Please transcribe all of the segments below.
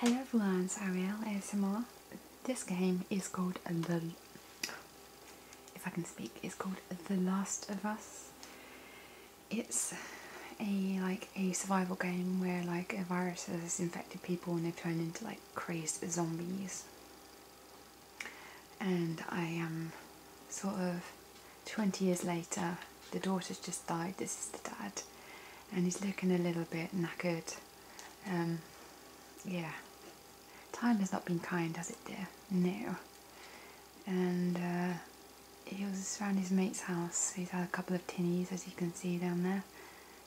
Hello everyone, it's Ariel ASMR. This game is called The... If I can speak, it's called The Last of Us. It's a like a survival game where like a virus has infected people and they've turned into like crazed zombies. And I am sort of 20 years later, the daughter's just died, this is the dad, and he's looking a little bit knackered. Um, yeah, time has not been kind, has it, dear? No. And uh, he was around his mate's house, he's had a couple of tinnies, as you can see down there.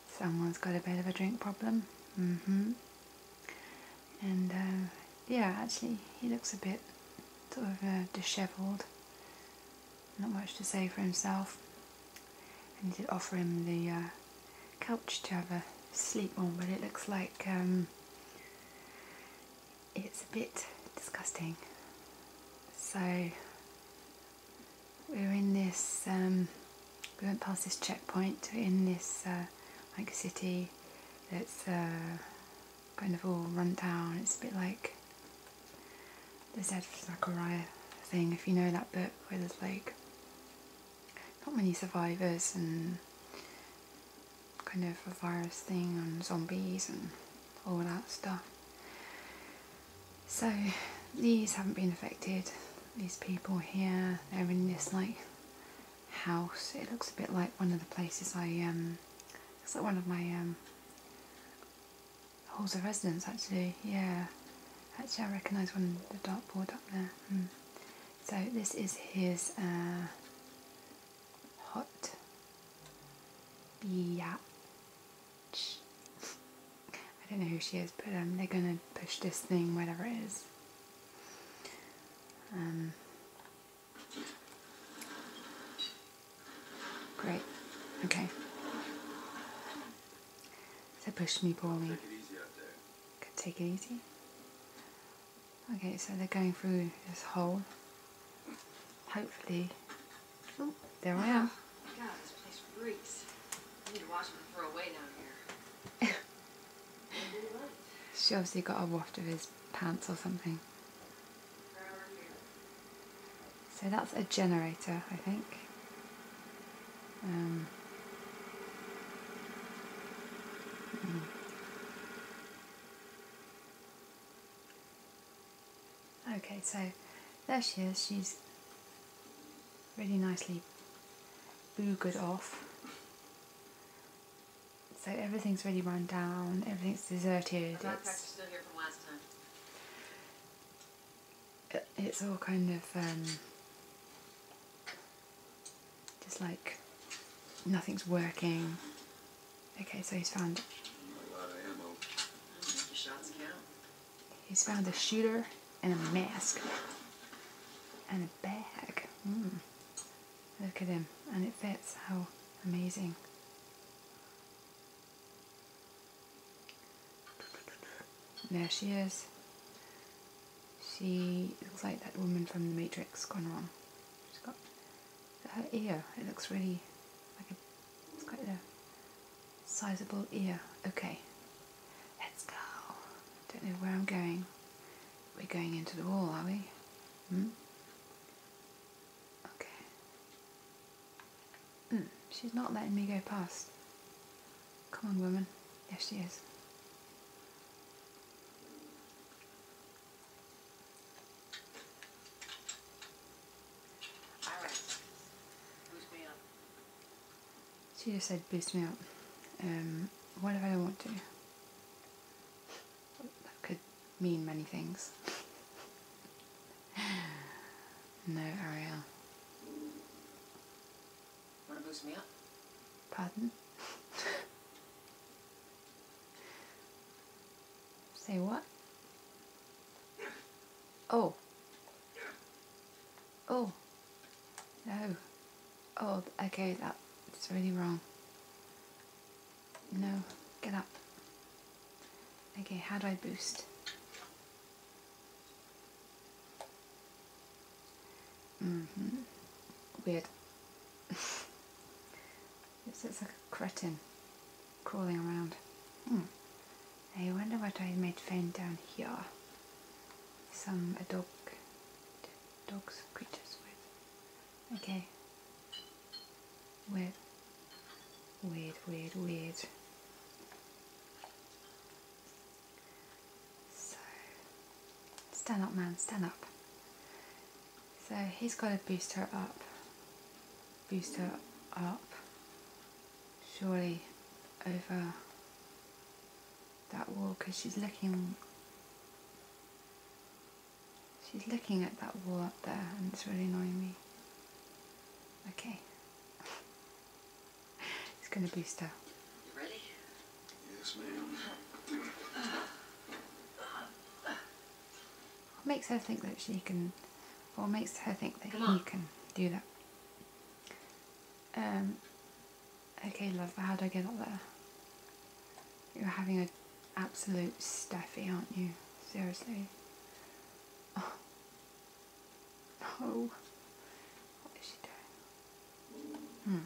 Someone's got a bit of a drink problem. hmm and uh, yeah actually he looks a bit sort of uh, dishevelled not much to say for himself I did offer him the uh, couch to have a sleep on but it looks like um, it's a bit disgusting so we're in this um, we went past this checkpoint in this like city that's kind of all run down. It's a bit like the Zed Zachariah thing, if you know that book, where there's like not many survivors and kind of a virus thing and zombies and all that stuff. So these haven't been affected. These people here, they're in this like house. It looks a bit like one of the places I um it's like one of my um, halls of residence actually, yeah. Actually I recognise one the dartboard up there. Hmm. So this is his hot uh, yeah. I don't know who she is, but um, they're gonna push this thing, whatever it is. Um, Great. Okay. So push me, pull me. Can take it easy. Okay, so they're going through this hole. Hopefully. Oh, there I am. this place reeks. I need to watch them throw away down here. she obviously got a waft of his pants or something. So that's a generator, I think. Um, hmm. Okay, so there she is. She's really nicely boogered off. So everything's really run down, everything's deserted. Uh, it's all kind of um, just like nothing's working. Okay, so he's found. A He's found a shooter and a mask and a bag. Hmm. Look at him, and it fits. How amazing! There she is. She looks like that woman from The Matrix gone wrong. She's got her ear. It looks really like a. It's quite a sizable ear. Okay, let's go. Don't know where I'm going. We're going into the wall, are we? Hmm? Okay. Mm, she's not letting me go past. Come on, woman. Yes, she is. She just said, boost me up. Um, what if I don't want to? that could mean many things. no, Ariel. Want to boost me up? Pardon? Say what? Oh. Oh. No. Oh, okay, that's really wrong. No, get up. Okay, how do I boost? Mm-hmm. Weird. it's, like a cretin crawling around. Hmm. I wonder what I might find down here. Some uh, dog, dogs, creatures with Okay. Weird. Weird, weird, weird. So, stand up, man, stand up. So he's got to boost her up. Boost her up. Surely over that wall because she's looking She's looking at that wall up there and it's really annoying me. Okay. it's going to boost her. You ready? Yes, ma'am. What makes her think that she can... What makes her think that he can do that? Um, okay, love, how do I get up there? You're having an absolute staffy, aren't you? Seriously. Oh. No. What is she doing? Hmm.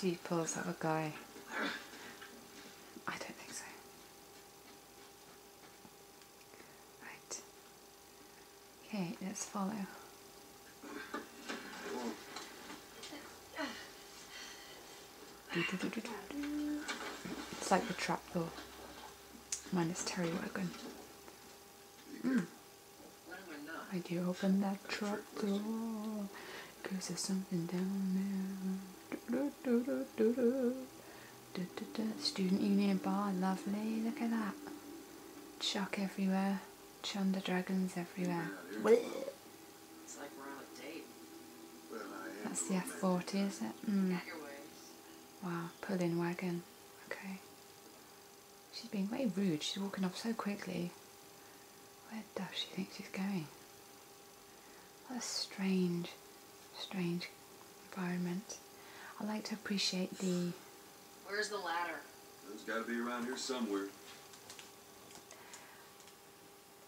She pulls up a guy. I don't think so. Right. Okay, let's follow. It's like the trap door. Minus Terry Wagon. Mm. I do open that trapdoor. Cause there's something down there. Student Union Bar, lovely. Look at that. Chuck everywhere. Chunder dragons everywhere. That's the F40, is it? Mm. Wow, pulling wagon. Okay. She's being very rude. She's walking off so quickly. Where does she think she's going? What a strange, strange environment. I like to appreciate the Where's the ladder? It's got to be around here somewhere.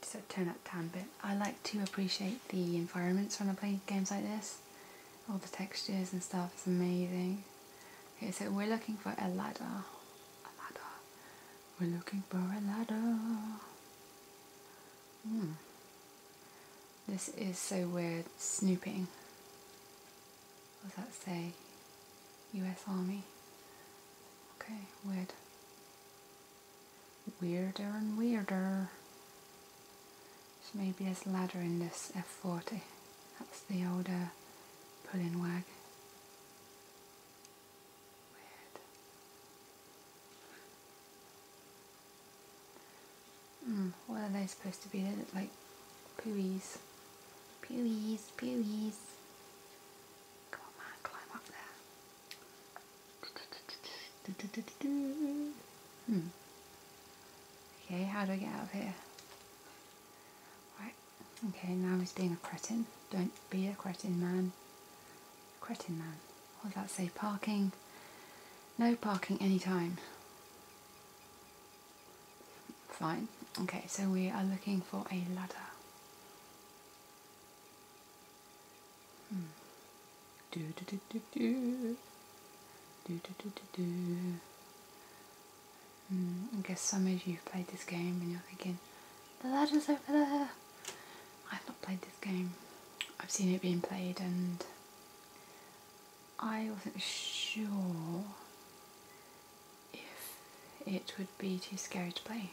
So a turn up tan bit. I like to appreciate the environments when I play games like this. All the textures and stuff is amazing. Okay, so we're looking for a ladder. A ladder. We're looking for a ladder. Hmm. This is so weird. Snooping. What does that say? US Army. Okay, weird. Weirder and weirder. So maybe there's a ladder in this F40. That's the older uh, pulling wag. Weird. Mm, are they supposed to be? They look like pooies. Pewies, pewies. Come on, man, climb up there. Hmm. Okay, how do I get out of here? Right, okay, now he's being a cretin. Don't be a cretin, man. Cretin, man. What does that say? Parking. No parking anytime. Fine. Okay, so we are looking for a ladder. Hmm. Do do do do do. Do do do do hmm, I guess some of you have played this game and you're thinking, the ladder's over there. I've not played this game. I've seen it being played and I wasn't sure if it would be too scary to play.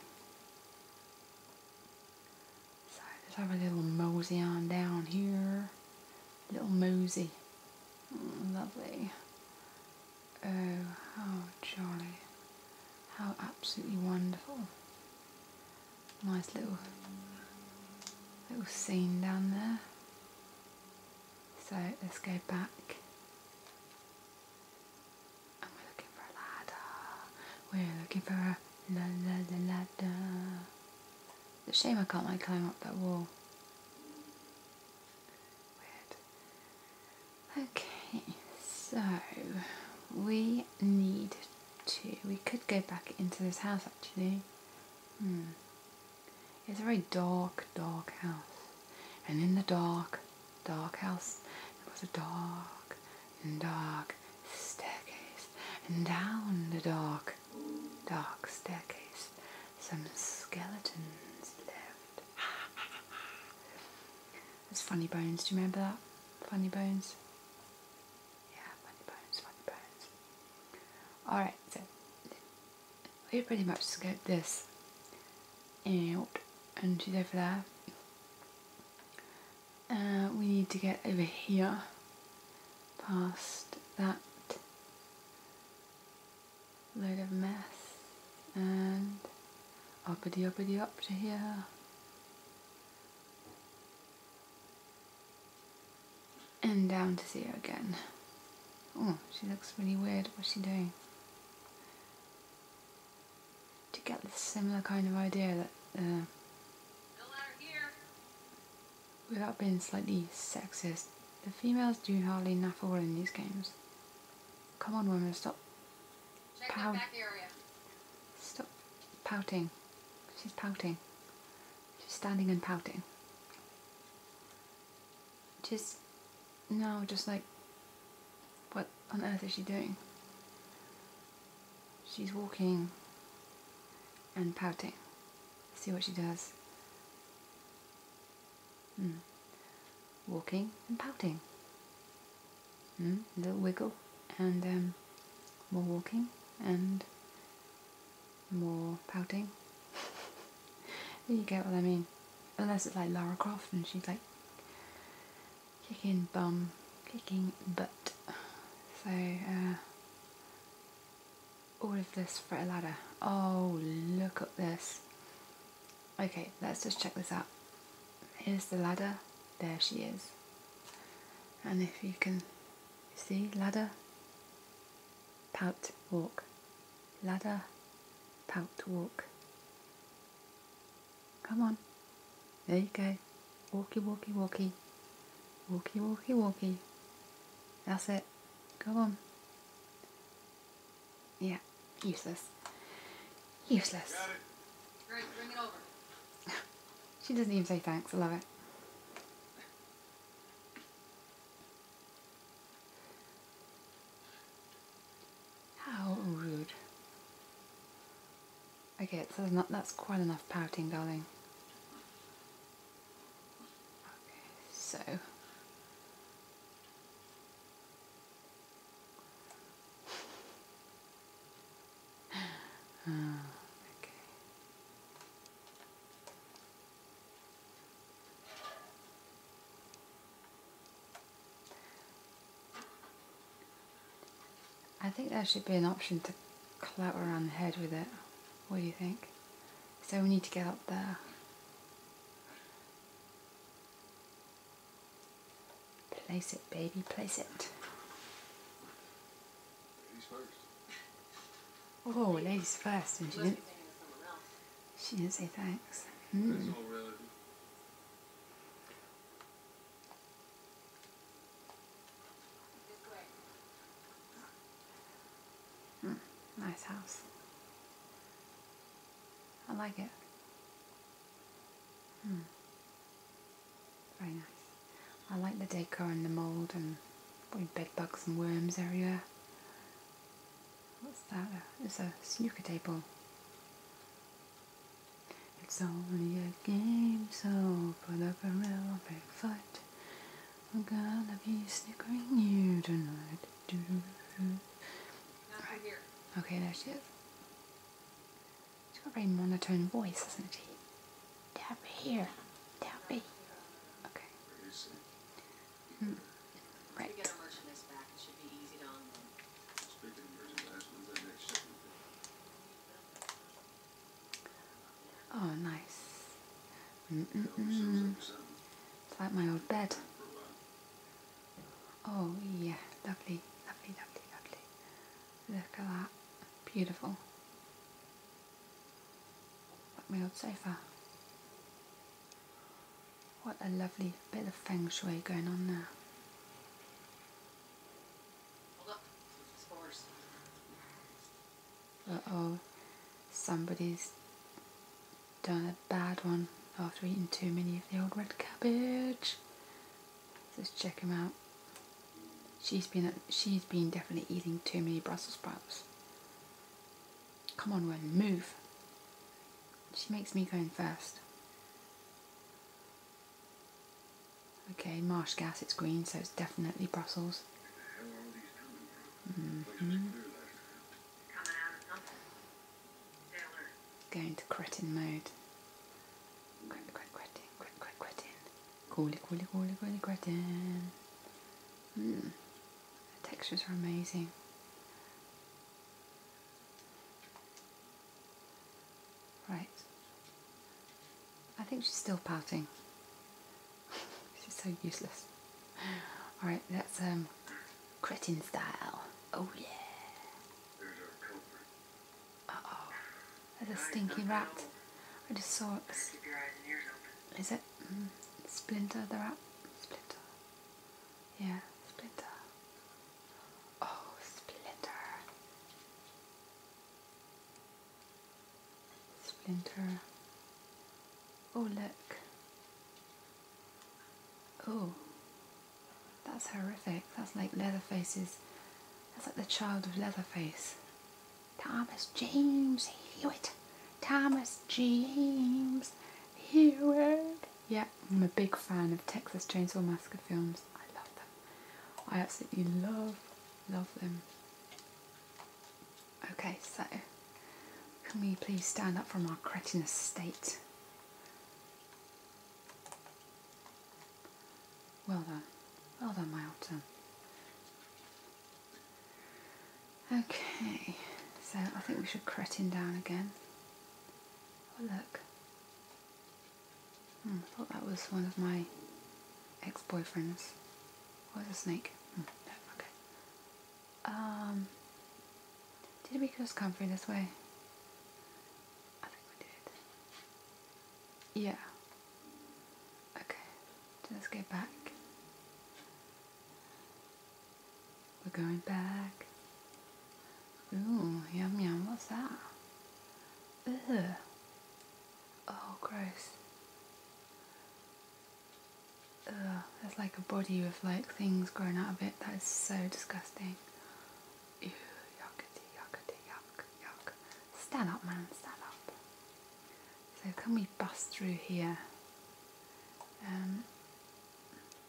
So let's have a little mosey on down here. Little mosey. Mm, lovely. Oh, how jolly. How absolutely wonderful. Nice little little scene down there. So let's go back. we're looking for a ladder. We're looking for a ladder. It's a shame I can't like climb up that wall. Weird. Okay, so we need to. We could go back into this house actually. Hmm. It's a very dark, dark house. And in the dark, dark house, there was a dark dark staircase. And down the dark, dark staircase, some skeletons lived. It's Funny Bones, do you remember that? Funny Bones? Yeah, Funny Bones, Funny Bones. Alright, we pretty much scoped this out and she's over there. Uh, we need to get over here past that load of mess and up, uppity up to here. And down to see her again. Oh, she looks really weird. What's she doing? to get the similar kind of idea that uh, without being slightly sexist, the females do hardly naff all in these games. Come on women, stop pout stop pouting. She's pouting. She's standing and pouting just now just like what on earth is she doing? She's walking and pouting. See what she does. Hmm. Walking and pouting. Mm. Little wiggle and um, more walking and more pouting. you get what I mean. Unless it's like Lara Croft and she's like kicking bum, kicking butt. So, uh, all of this for a ladder. Oh, look at this. Okay, let's just check this out. Here's the ladder. There she is. And if you can see, ladder, pout, walk, ladder, pout walk. Come on. There you go. Walkie, walkie, walkie. Walkie, walkie, walkie. That's it. Go on. Yeah, useless. Useless. she doesn't even say thanks. I love it. How rude. Okay, so not, that's quite enough pouting, darling. Okay, so. Ah, okay. I think there should be an option to clout around the head with it. What do you think? So we need to get up there. Place it, baby, place it. Oh, ladies first, and she didn't. She didn't say thanks. Mm. Mm, nice house. I like it. Hmm. Very nice. I like the decor and the mould and bed bugs and worms everywhere. What's that? It's a snooker table. It's only a game, so put up a real big fight. I'm gonna be snickering you tonight. Do, do, do. Right. Here. Okay, there she is. She's got a very monotone voice, hasn't she? Down here. Down here. Okay. Hmm. oh, nice. Mm -mm -mm. It's like my old bed. Oh, yeah. Lovely, lovely, lovely, lovely. Look at that. Beautiful. Like my old sofa. What a lovely bit of feng shui going on there. oh, somebody's done a bad one after eating too many of the old red cabbage. Let's check him out. She's been she's been definitely eating too many Brussels sprouts. Come on, Ren, move. She makes me go in first. Okay, marsh gas, it's green, so it's definitely Brussels. Mm-hmm. Going to cretin mode. Cret, cret, cretin, cret, cret, cretin. Coolie, coolie, coolie, coolie, cretin. Mm. The textures are amazing. Right. I think she's still pouting. she's so useless. Alright, that's um cretin style. Oh yeah. Uh oh. There's a stinky rat. I just saw it. Is it? Mm. Splinter the rat? Splinter. Yeah, Splinter. Oh, Splinter. Splinter. Oh, look. Oh, that's horrific. That's like Leatherface's. That's like the child of Leatherface. Thomas James Hewitt. Thomas James Hewitt. Yeah, I'm a big fan of Texas Chainsaw Massacre films. I love them. I absolutely love, love them. Okay, so can we please stand up from our cretinous state? Well done. Well done, my old Okay, so I think we should cretin down again. Oh, look. Hmm, I thought that was one of my ex-boyfriends. Was a snake? Hmm, okay. Um, did we just come through this way? I think we did. Yeah. Okay, let's go back. We're going back. Ooh, yum yum, what's that? Ugh. Oh, gross. Ugh, there's like a body with like things growing out of it. That is so disgusting. Ew, yuckity, yuck, yuck. Stand up, man, stand up. So can we bust through here? Um,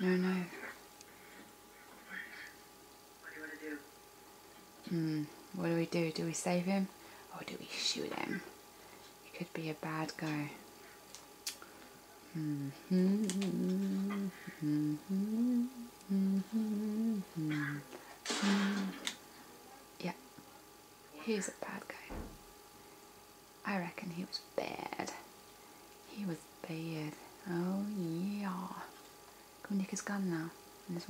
No, no. What do Hmm, what do we do? Do we save him? Or do we shoot him? He could be a bad guy. Mm -hmm. Mm -hmm. Mm -hmm. Yeah. He's a bad guy. I reckon he was bad. He was bad. Oh yeah. Go nick his gun now in his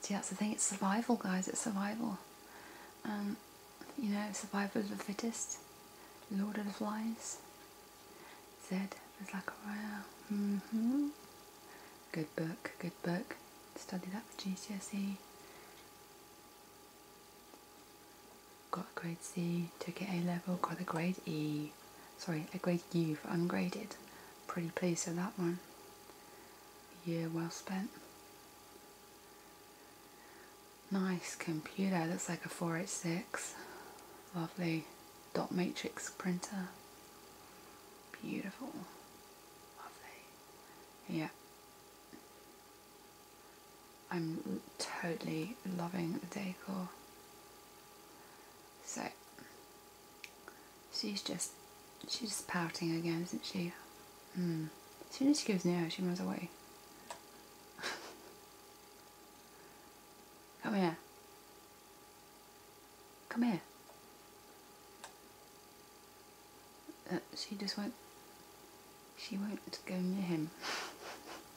See that's the thing, it's survival guys, it's survival. Um, you know, survival of the fittest, Lord of the Flies. Zed is like a wow. hmm Good book, good book. Study that for GCSE. Got a grade C, took it A level, got a grade E, sorry, a grade U for ungraded. Pretty pleased with that one. year well spent. Nice computer, looks like a 486. Lovely dot matrix printer. Beautiful. Lovely. Yeah. I'm totally loving the decor. So she's just she's just pouting again, isn't she? Mm. As soon as she goes near her, she runs away. Come here. Come here. Uh, she just won't, she won't go near him.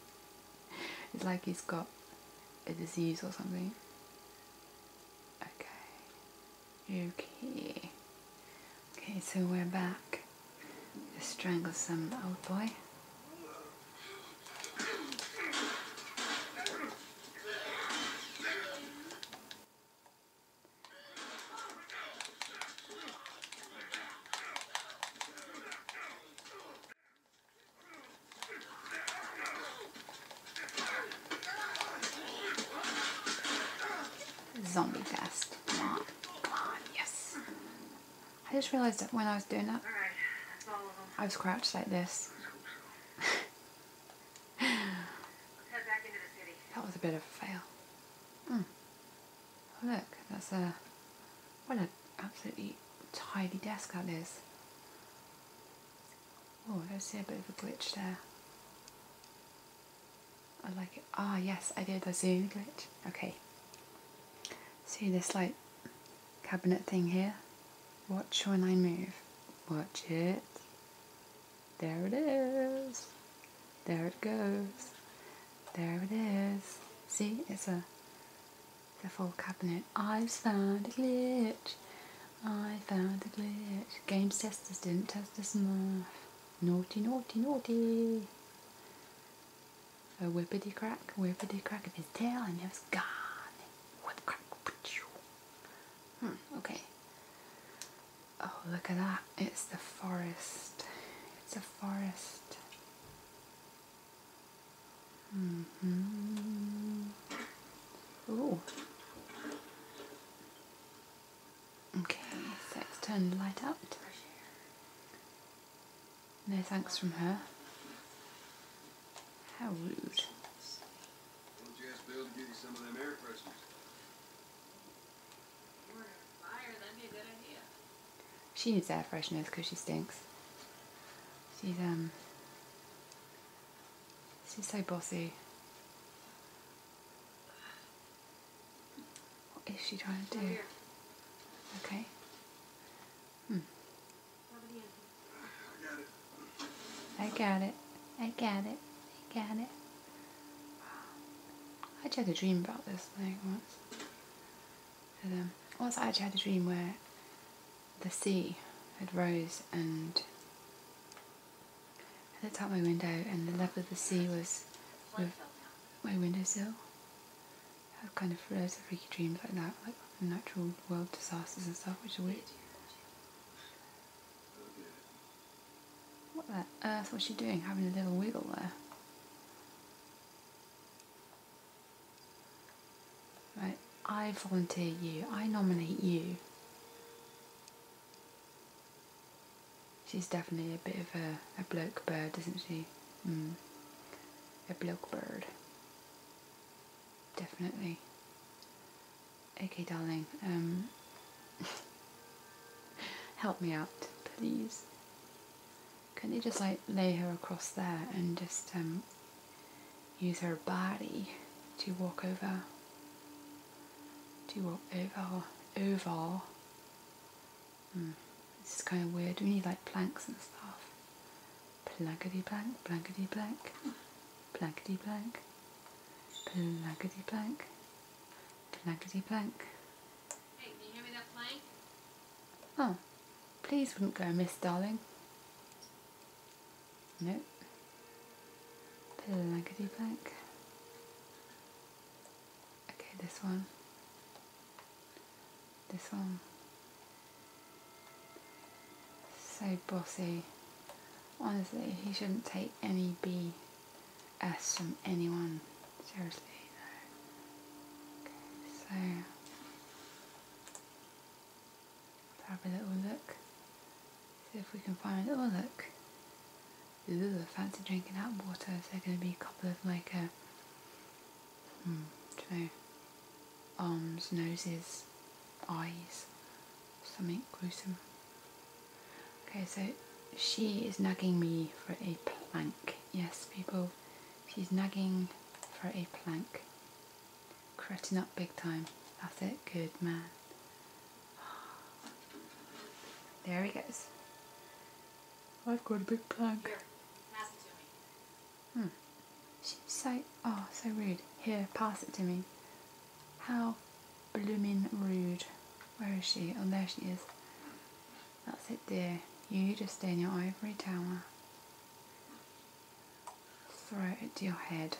it's like he's got a disease or something. Okay. Okay. Okay, so we're back. strangle some old boy. Zombie test. Come on. Yes. I just realized that when I was doing that, I was crouched like this. that was a bit of a fail. Mm. Look, that's a what an absolutely tidy desk that is. Oh, I see a bit of a glitch there. I like it. Ah, yes, I did a zoom glitch. Okay. See this like cabinet thing here? Watch when I move. Watch it. There it is. There it goes. There it is. See, it's a the full cabinet. I've found a glitch. I found a glitch. Games testers didn't test us enough. Naughty, naughty, naughty. A whippity crack, whippity crack of his tail, and he was gone. Whip crack. Hmm, okay. Oh, look at that. It's the forest. It's a forest. Mm Okay, let's turn the light out. No thanks from her. How rude. She needs that freshness because she stinks. She's, um, she's so bossy. What is she trying to do? Okay. Hmm. I got it. I got it. I got it. I actually had a dream about this thing once. Um, once I actually had a dream where the sea had rose and I looked out my window and the level of the sea was with my windowsill. I have kind of loads of freaky dreams like that, like natural world disasters and stuff, which are weird. What on earth was she doing having a little wiggle there? Right, I volunteer you, I nominate you. She's definitely a bit of a, a bloke bird, isn't she? Hmm. A bloke bird. Definitely. Okay, darling. Um, Help me out, please. Couldn't you just like lay her across there and just um, use her body to walk over? To walk over, over. Mm, this is kind of weird. We need like planks and stuff. Plankety plank, blankety blank, blankety blank, blankety blank, blankety blank. Oh, please wouldn't go Miss darling. Nope. Bit of blankety blank. Okay, this one. This one. So bossy. Honestly, he shouldn't take any B Ask from anyone. Seriously, Okay, so have a little look. See if we can find a little look. Ooh, fancy drinking that water. There's going to be a couple of like a, uh, hmm, do you know, arms, noses, eyes, something gruesome? Okay, so she is nagging me for a plank. Yes, people, she's nagging for a plank. Cretting up big time. That's it, good man. There he goes. I've got a big plank. Hmm. She's so, oh, so rude. Here, pass it to me. How blooming rude. Where is she? Oh, there she is. That's it, dear. You just stay in your ivory tower. Throw it to your head.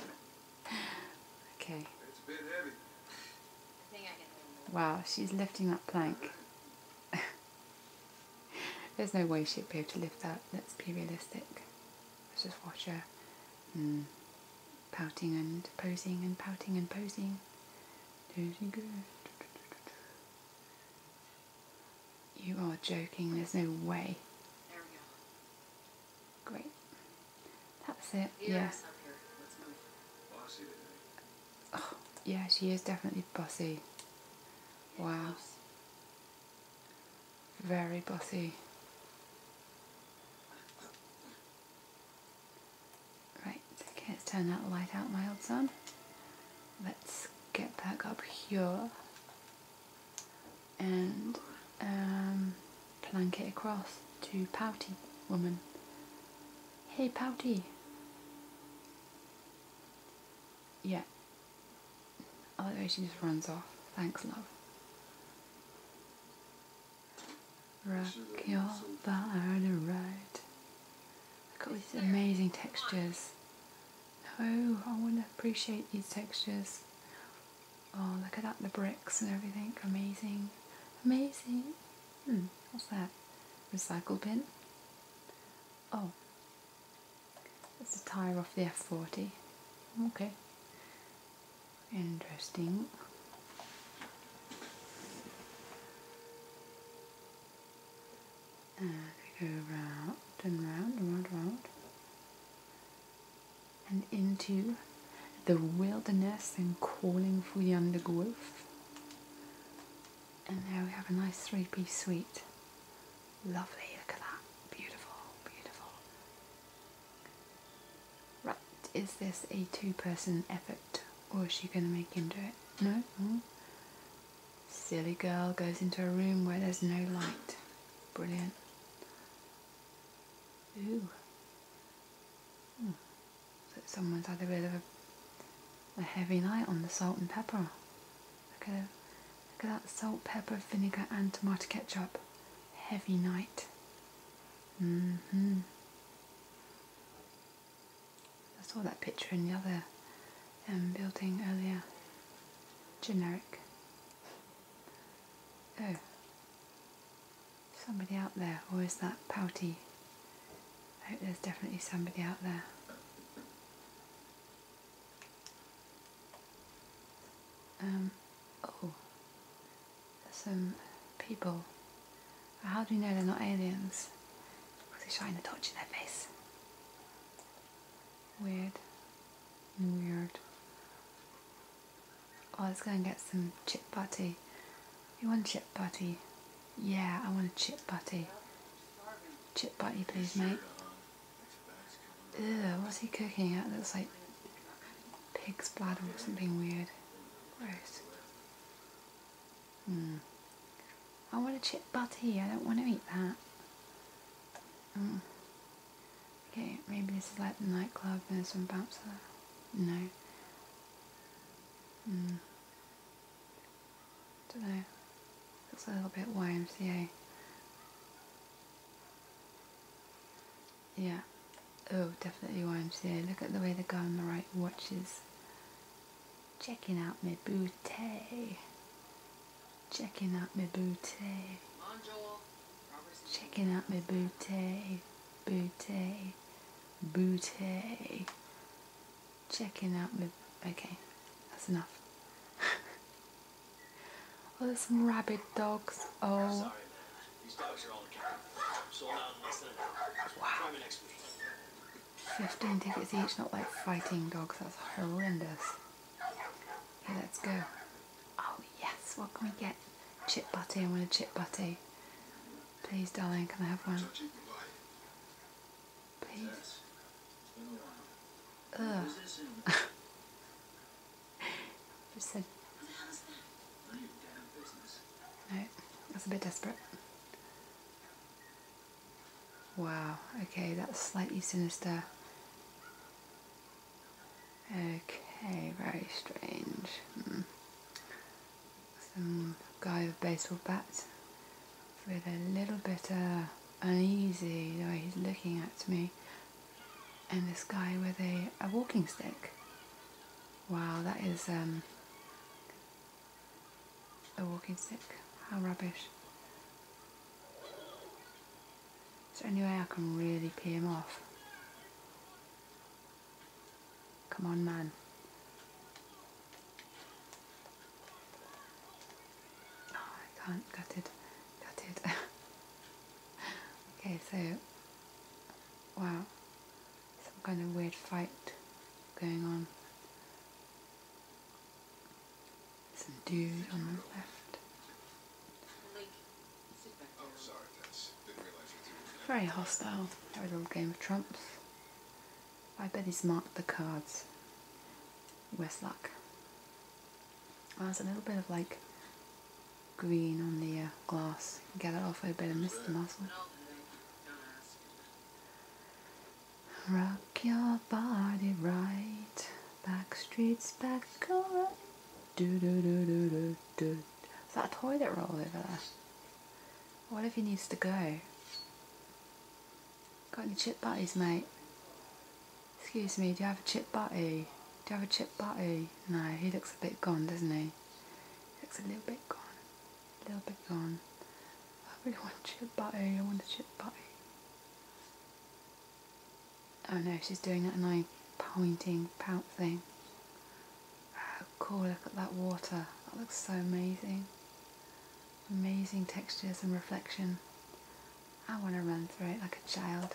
okay. Wow, she's lifting that plank. There's no way she'd be able to lift that, let's be realistic. Let's just watch her Hmm. Pouting and posing and pouting and posing. You are joking, there's no way. Great. That's it, yes. Yeah. Oh, yeah, she is definitely bossy. Wow. Very bossy. Right, okay, let's turn that light out, my old son. Let's get back up here and um, plank it across to Pouty woman. Hey Pouty! Yeah. I the way she just runs off. Thanks, love. Rock your body right. Look at got these amazing textures. Oh, I want to appreciate these textures. Oh, look at that, the bricks and everything. Amazing. Amazing. Hmm, what's that? Recycle bin? Oh. That's the tyre off the F40. Okay. Interesting. And uh, go round and round and round and round. And into the wilderness and calling for the undergrowth. And there we have a nice three-piece suite. Lovely, look at that. Beautiful, beautiful. Right, is this a two person effort or is she gonna make into it? No? Hmm? Silly girl goes into a room where there's no light. Brilliant. Ooh. Hmm. someone's had a bit of a, heavy night on the salt and pepper. look at that salt, pepper, vinegar and tomato ketchup. Heavy night. Mm hmm I saw that picture in the other um, building earlier. Generic. Oh. Somebody out there, or is that pouty? I oh, hope there's definitely somebody out there. Um, oh, some people. How do we know they're not aliens? Because they are shining a torch in their face. Weird. Weird. I was going to get some chip butty. You want chip butty? Yeah, I want a chip butty. Chip butty, please, mate. what's he cooking? It looks like pig's bladder or something weird. Gross. Hmm. I want a chip butty. I don't want to eat that. Hmm. Okay, maybe this is like the nightclub and there's some bouncer. No. Mm. Don't know. Looks a little bit YMCA. Yeah. Oh, definitely YMCA. Look at the way the guy on the right watches. Checking out my booty. Checking out my booty. Checking out my booty. Booty. Booty. Checking out my... Okay, that's enough. oh, there's some rabbit dogs. Oh these dogs are all accountable. Sold out in less than an hour. Wow. 15 tickets each, not like fighting dogs. That's horrendous. Okay, let's go. Oh, yes. What can we get? Chip butty. I want a chip butty. Please, darling, can I have one? Please. Ugh. Listen. No, that's a bit desperate. Wow, okay, that's slightly sinister. Okay, very strange. Hmm. Some guy with baseball bat with a little bit uh, uneasy the way he's looking at me. And this guy with a, a walking stick. Wow, that is um, a walking stick. How rubbish. Is there any way I can really pee him off? Come on, man. Oh, I can't. Gutted. Gutted. okay, so... Wow some kind of weird fight going on. Some dude on the left. Very hostile. That was a little game of trumps. I bet he's marked the cards. Worst luck. Well, there's a little bit of like green on the uh, glass. Get that off, I better miss the muscle. Rock your body right, back streets back, alright. Do do do do do do. Is that toilet roll over there? What if he needs to go? Got any chip butties, mate? Excuse me, do you have a chip butty? Do you have a chip butty? No, he looks a bit gone, doesn't he? It's a little bit gone. A little bit gone. I really want chip butty. I want a chip butty. Oh no, she's doing that annoying pointing pout thing. Oh cool, look at that water. That looks so amazing. Amazing textures and reflection. I want to run through it like a child.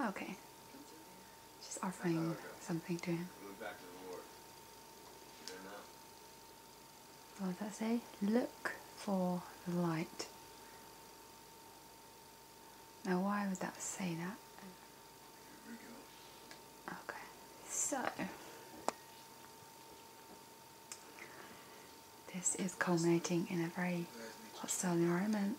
Okay. She's offering something to him. What does that say? Look for the light. Now why would that say that? Okay, so this is culminating in a very hostile environment.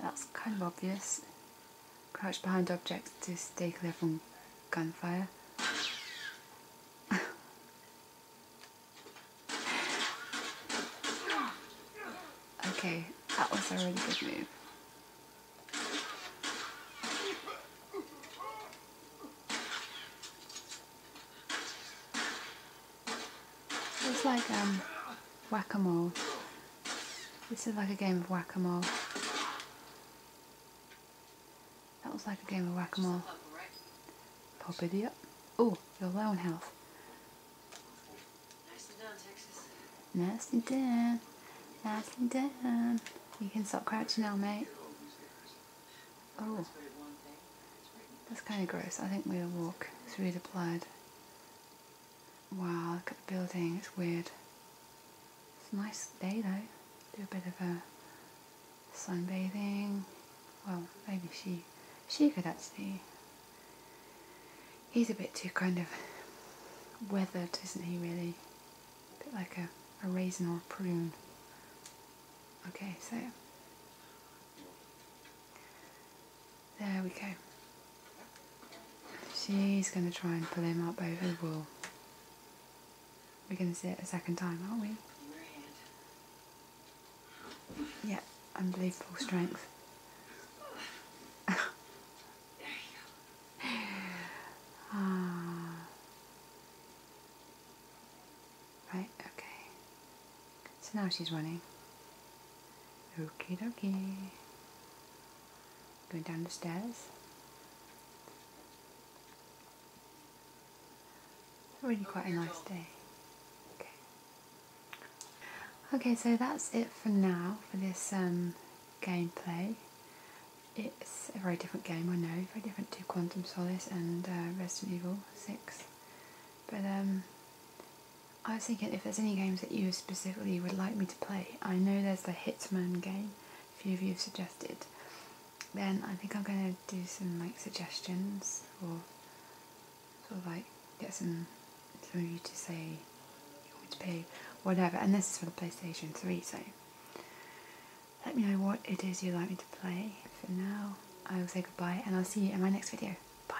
That's kind of obvious. Crouch behind objects to stay clear from gunfire. okay, that was already good move. It's like um, whack-a-mole. This is like a game of whack-a-mole. That was like a game of whack-a-mole. Pop idiot. Oh, your loan health. Nicely done, Texas. Nicely done. Nicely done. You can stop crouching now, mate. Oh. That's kind of gross. I think we'll walk through the blood. Wow, look at the building, it's weird. It's a nice day though. Do a bit of a sunbathing. Well, maybe she she could actually. He's a bit too kind of weathered, isn't he really? bit like a, a raisin or a prune. Okay, so there we go. She's going to try and pull him up over the wall. We're going to see it a second time, aren't we? Yeah, unbelievable strength. ah. Right, okay. So now she's running. Okay, okay, Going down the stairs. Really quite a nice day. Okay. Okay, so that's it for now for this um, gameplay. It's a very different game, I know, very different to Quantum Solace and uh, Resident Evil 6. But um, I was thinking if there's any games that you specifically would like me to play, I know there's the Hitman game a few of you have suggested, then I think I'm going to do some like suggestions or sort of like get some, some of you to say you want me to play whatever, and this is for the PlayStation 3 so let me know what it is you'd like me to play. For now, I will say goodbye and I'll see you in my next video. Bye.